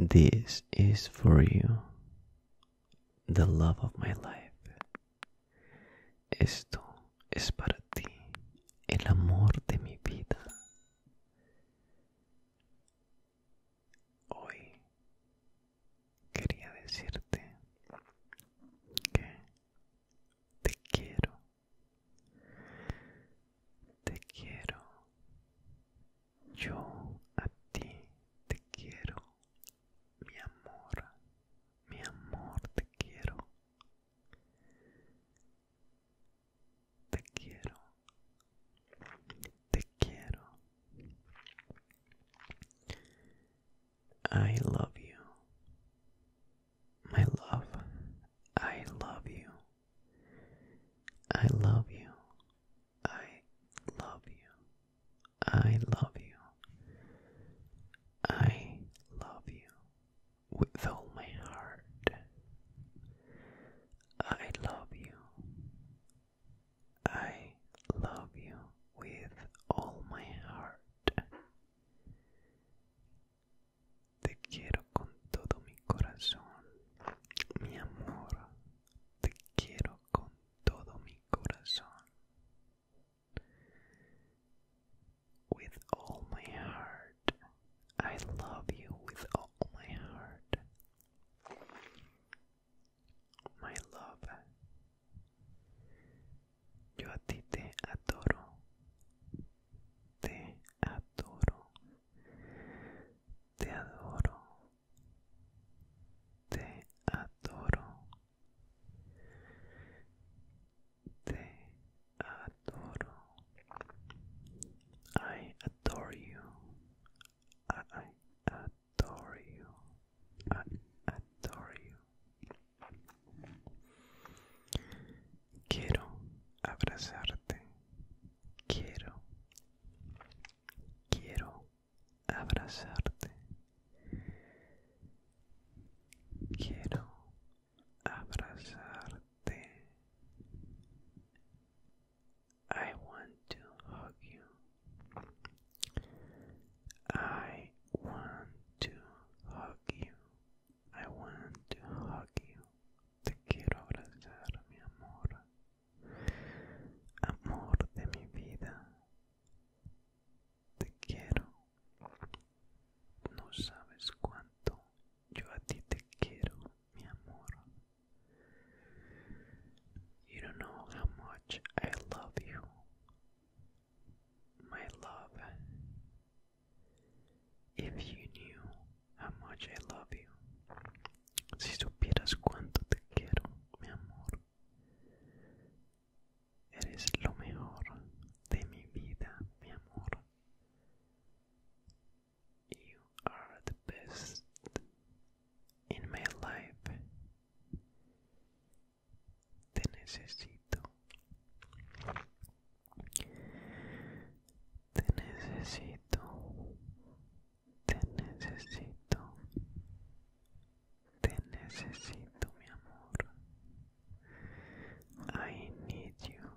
This is for you, the love of my life. Esto es para ti, el amor de mi vida. Hoy quería decirte que te quiero. Te quiero. Yo a ti te quiero. Mi amor. Mi amor te quiero. Te quiero. Te quiero. I love you. My love, I love you. I love you. I love you. I love you. I love you with all my heart. I love you. I love you with all my heart. Te quiero con todo mi corazón, mi amor. Te quiero con todo mi corazón. With all my heart. I love you with all my heart. My love Yo a ti te adoro, te adoro, te adoro, te adoro, te adoro. I adore you. adore you. I adore you. Quiero abrazarte. Quiero. Quiero abrazarte. Quiero abrazarte. I want to hug you. I want to hug you. I want to hug you. Te quiero abrazar, mi amor. Amor de mi vida. Te quiero. No sabes cuánto yo a ti te quiero, mi amor. You don't know how much I love you. My love, if you knew how much I love you, si supieras cuánto te quiero, mi amor, eres lo mejor de mi vida, mi amor. You are the best in my life. te necesito te necesito te necesito te necesito mi amor I need you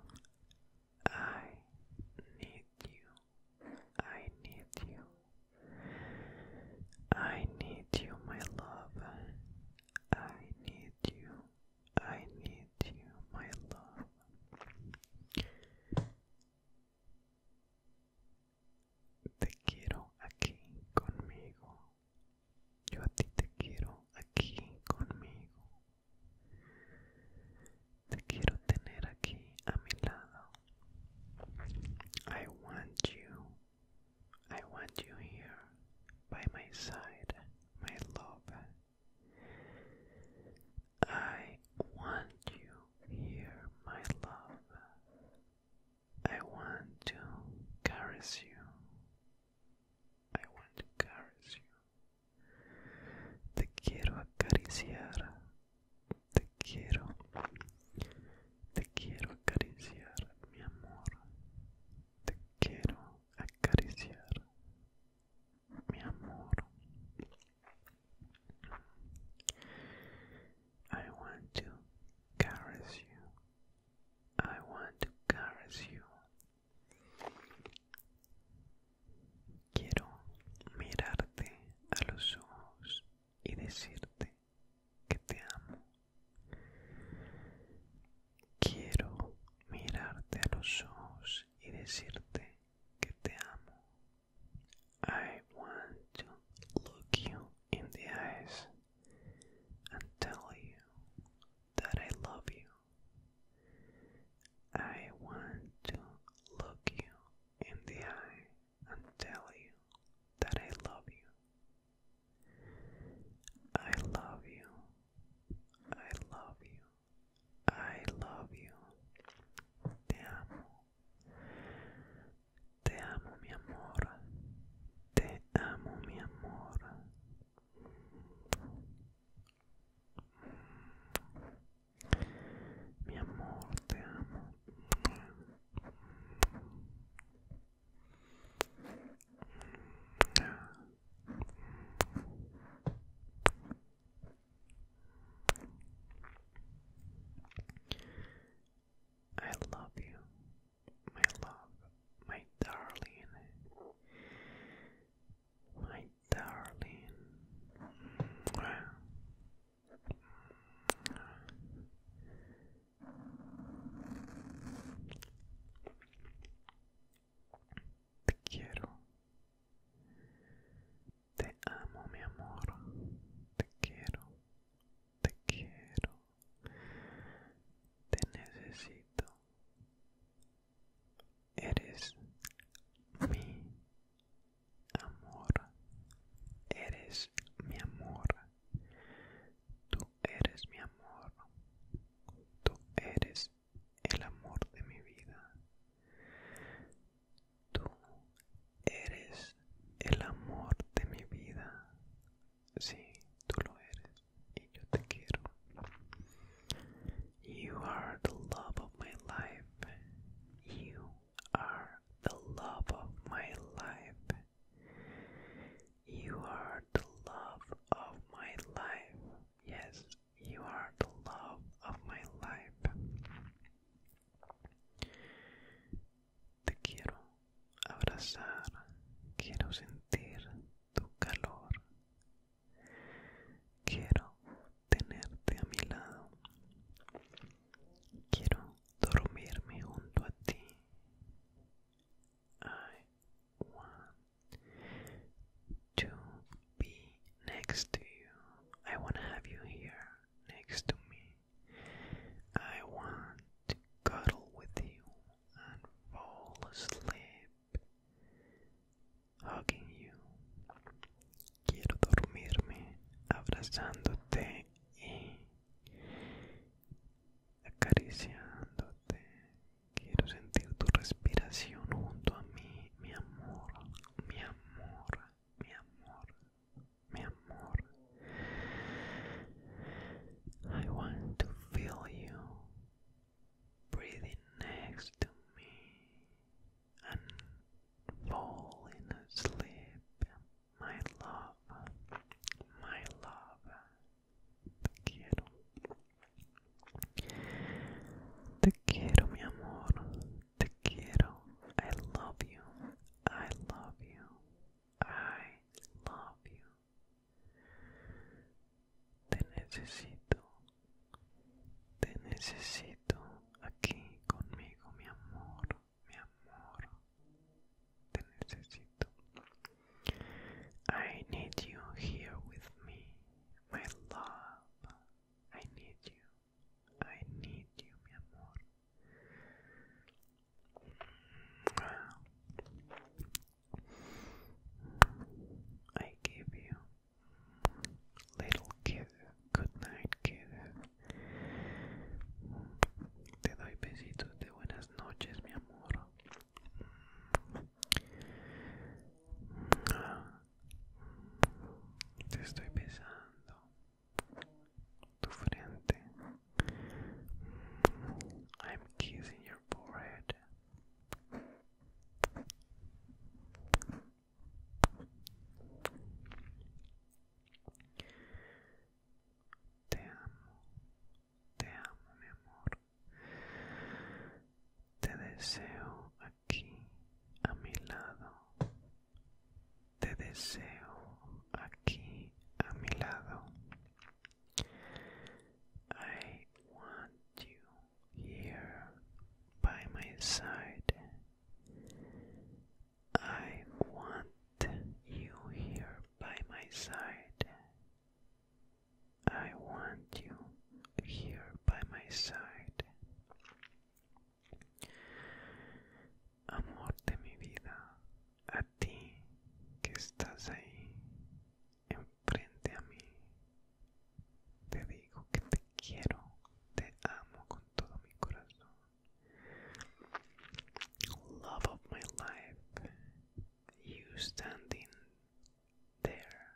I need you I need you I need you, my love. I need you. I need you, my love. Te quiero aquí conmigo. Yo a ti te quiero aquí conmigo. Te quiero tener aquí a mi lado. I want you I want you here by my side, my love. I want you here, my love. I want to caress you. I want to caress you. Te quiero acariciar. Te quiero Te quiero acariciar, mi amor. Te quiero acariciar, mi amor. I want to caress you. I want to caress you. Quiero mirarte a los ojos y decirte que te amo. Quiero mirarte a los ojos y decirte que te amo. I want to look you in the eyes and tell you that I love you. I want to look you in the eye and tell you that I love you. I love you. I love you. I love you. Te amo. Te amo, mi amor. Te amo, mi amor. Mi amor, te amo. I love you, my love, my darling, my darling. Te quiero. Te amo, mi amor. Te quiero. Te quiero. Te necesito. Eres mi amor. Eres mi amor. Tú eres mi amor, tú eres el amor de mi vida. Tú eres el amor de mi vida. Sí, tú lo eres y yo te quiero. You are the love of my life. You are the love of my life. You are the love of my life. Yes, you are the love of my life. Te quiero abrazar, quiero sentir tu calor. Quiero tenerte a mi lado. Quiero I want to be next to you. I want to have you here next to me. I want to cuddle with you and fall asleep hugging you. Quiero dormirme abrazándote y acariciándote. Quiero sentir tu respiración junto a mí, mi amor, mi amor, mi amor, mi amor. I want to feel you breathing next to me and falling asleep. My love, my love, te quiero. Te quiero, mi amor, te quiero. I love you, I love you, I love you. Te necesito, te necesito aquí conmigo, mi amor mi amor, te necesito. I need you here with me, my love. I need you. I need you, mi amor. I give you little kisses Good night, kid. Te doy besitos de buenas noches, mi amor. Te estoy besando tu frente. I'm kissing your forehead. Te amo, te amo mi amor. Te deseo aquí a mi lado. Te deseo aquí a mi lado. I want you here by my side. I want you here by my side. I want you here by my side. Amor de mi vida, a ti que estás ahí, enfrente a mí, te digo que te quiero, te amo con todo mi corazón. Love of my life, you standing there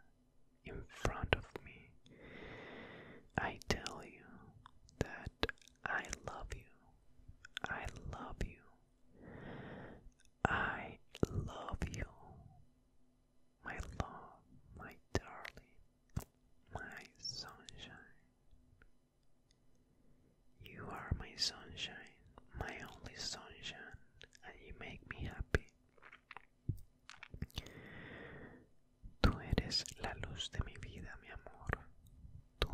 in front of me. I tell you that I love you. I love you. I love you. My love, my darling, my sunshine, You are my sunshine, my only sunshine, and you make me happy. Tú eres la luz de mi vida, mi amor. Tú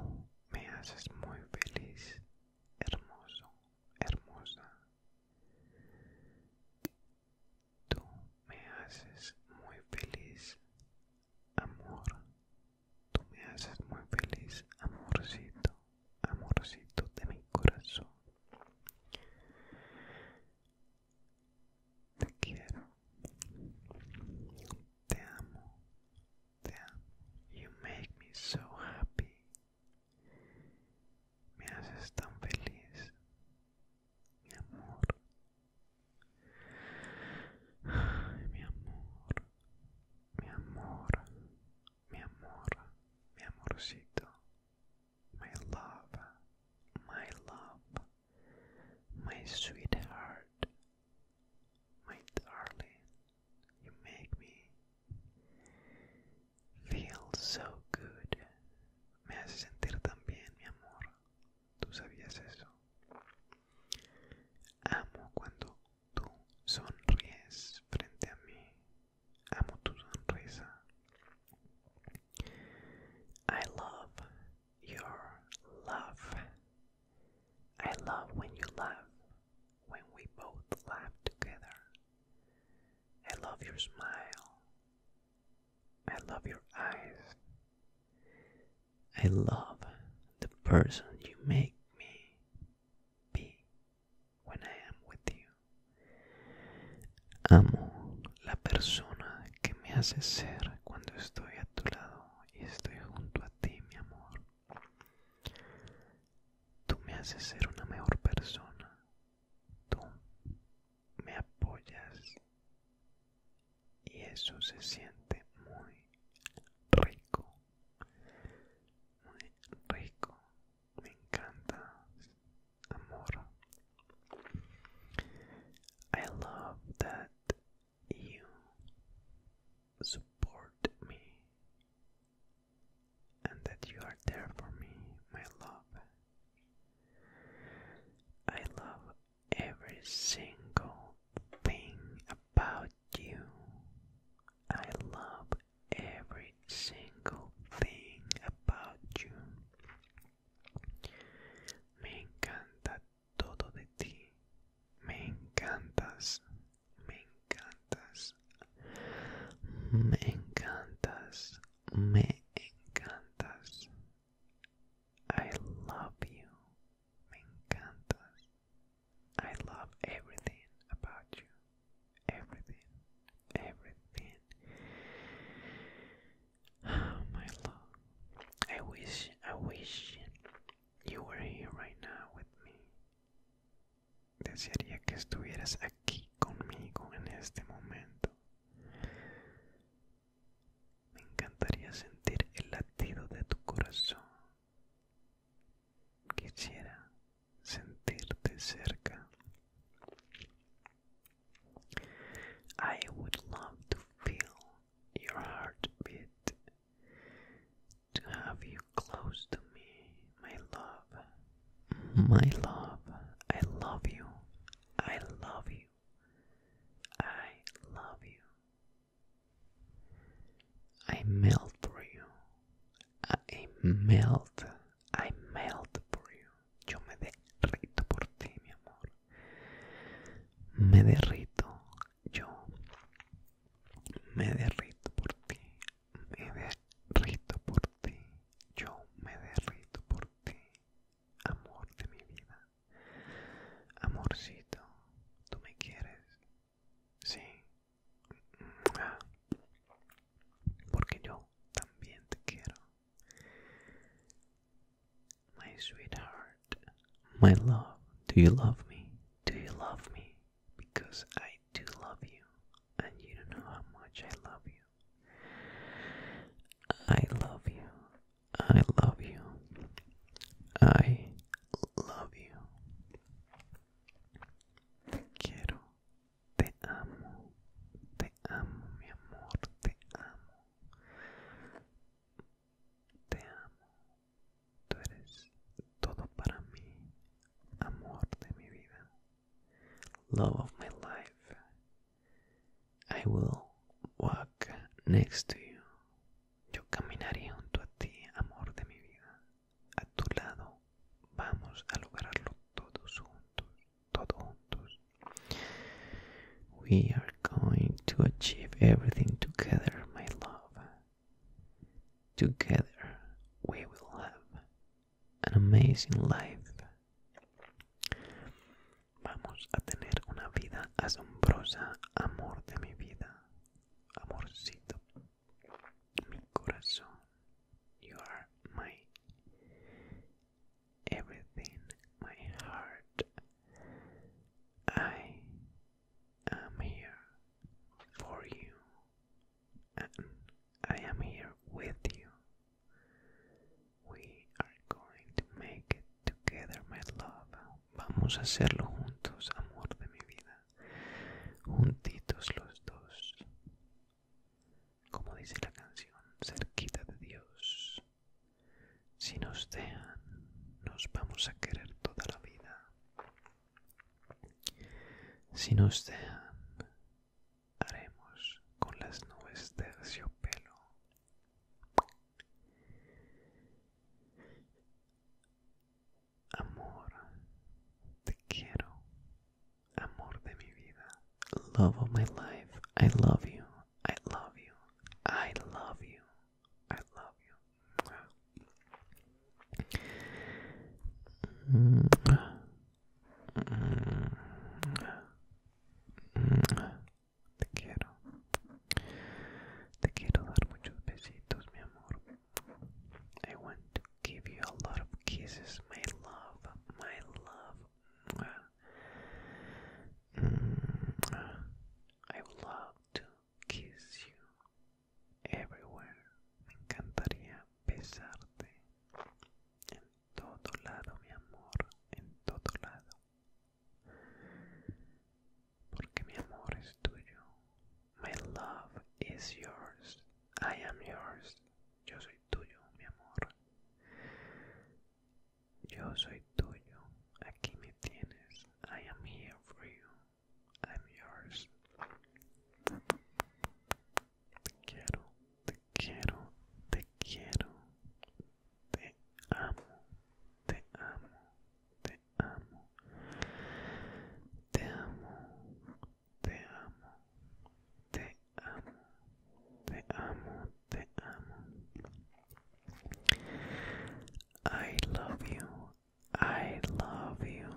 me haces muy feliz, hermoso, hermosa. Tú me haces muy feliz, Amor, tú me haces muy feliz, amorcito, amorcito de mi corazón. Te quiero, te amo, te amo. You make me so happy. Me haces tan feliz, mi amor. Ay, mi amor, mi amor, mi amor, mi amorcito, my love, my love, my sweetheart, my darling, you make me feel so good. Me hace sentir tan bien, mi amor. Amo cuando tú sonríes frente a mí. Amo tu sonrisa. I love your laugh. I love when you laugh, when we both laugh together. I love your smile. I love your eyes. I love the person you make me be when I am with you. Amo la persona que me hace ser cuando estoy a tu lado y estoy junto a ti, mi amor. Tú me haces ser una mejor persona. Tú me apoyas y eso se siente muy rico muy rico me encanta amor I love that you support me and that you are there for me my love I love every single thing about you. I love every single thing about you. Me encanta todo de ti. Me encantas. Me encantas. Me encantas. Me encantas. I love you. Me encantas. I love everything about you. Everything. Everything. Oh, my love. I wish, I wish you were here right now with me. Desearía que estuvieras aquí conmigo en este momento. Me encantaría sentir el latido de tu corazón. Quisiera sentirte cerca. I would love to feel your heartbeat, to have you close to me, my love, my love. I love you. I love you. I love you. I melt for you. I melt. I melt for you. Yo me derrito por ti, mi amor. Me derrito. Yo me derrito por ti. Me derrito por ti. Yo me derrito por ti. Amor de mi vida. Amorcito, ¿tú me quieres? Sí. Porque yo también te quiero. My sweetheart, my love, do you love me? Do you love me? Because I do love you, and you don't know how much I love you. I love you. I love you. I love you. quiero. Te amo. Te amo, mi amor. Te amo. Te amo. Tú eres todo para mí. Amor de mi vida. Love of my life. I will walk next to you. Yo caminaré junto a ti, amor de mi vida. A tu lado vamos a lograrlo todos juntos, todos juntos. We are going to achieve everything together, my love. Together we will have an amazing life. Vamos a tener una vida asombrosa, amor de mi vida, amorcito, mi corazón. You are my everything, my heart. I am here for you, and I am here with you. We are going to make it together, my love. Vamos a hacerlo juntos, amor de mi vida. Juntitos los dos. Como dice la canción, cerquita de Dios. Si nos dejan, nos vamos a querer toda la vida. Si nos dejan, haremos con las nubes terciopelo. Amor, te quiero. Amor de mi vida. Love of my life. I love you. I love you. I love you. I love you. I want to give you a lot of kisses, my love, my love. Mm. I love to kiss you everywhere. encantaría besarte todo lado, mi amor, en todo lado. Porque mi amor es tuyo. My love is yours. I am yours. Yo soy tuyo, mi amor. Yo soy tuyo. Aquí me tienes. I am here for you. I'm yours. Te quiero. Te quiero, te quiero, te amo, te amo, te amo, te amo, te amo, te amo, te amo, I love you, I love you,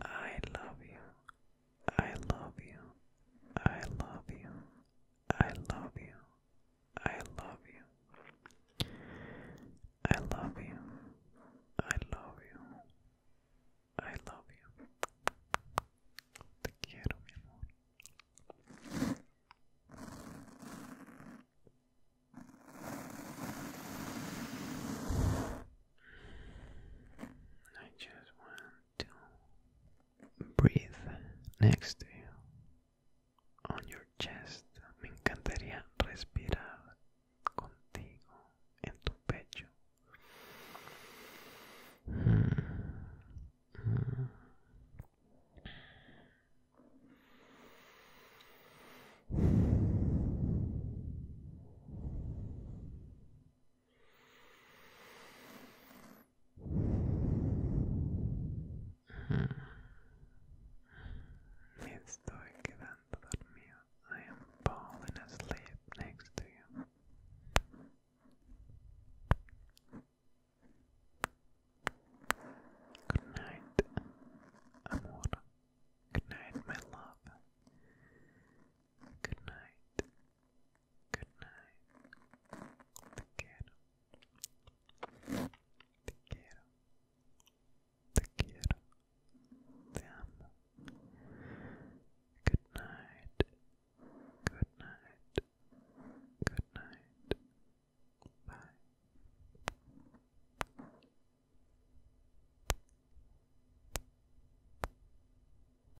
I love you, I love you. I love you. I love you. I love you. I love you. I love you. I love you. Te quiero, mi amor. I just want breathe next to you on your chest. Me encantaría respirar contigo en tu pecho. I am falling asleep next to you. Good night, amor. Good night, my love. Good night. Good night. Te quiero. Te quiero. Te quiero. Te amo. Good night. Good night. Good night. Bye.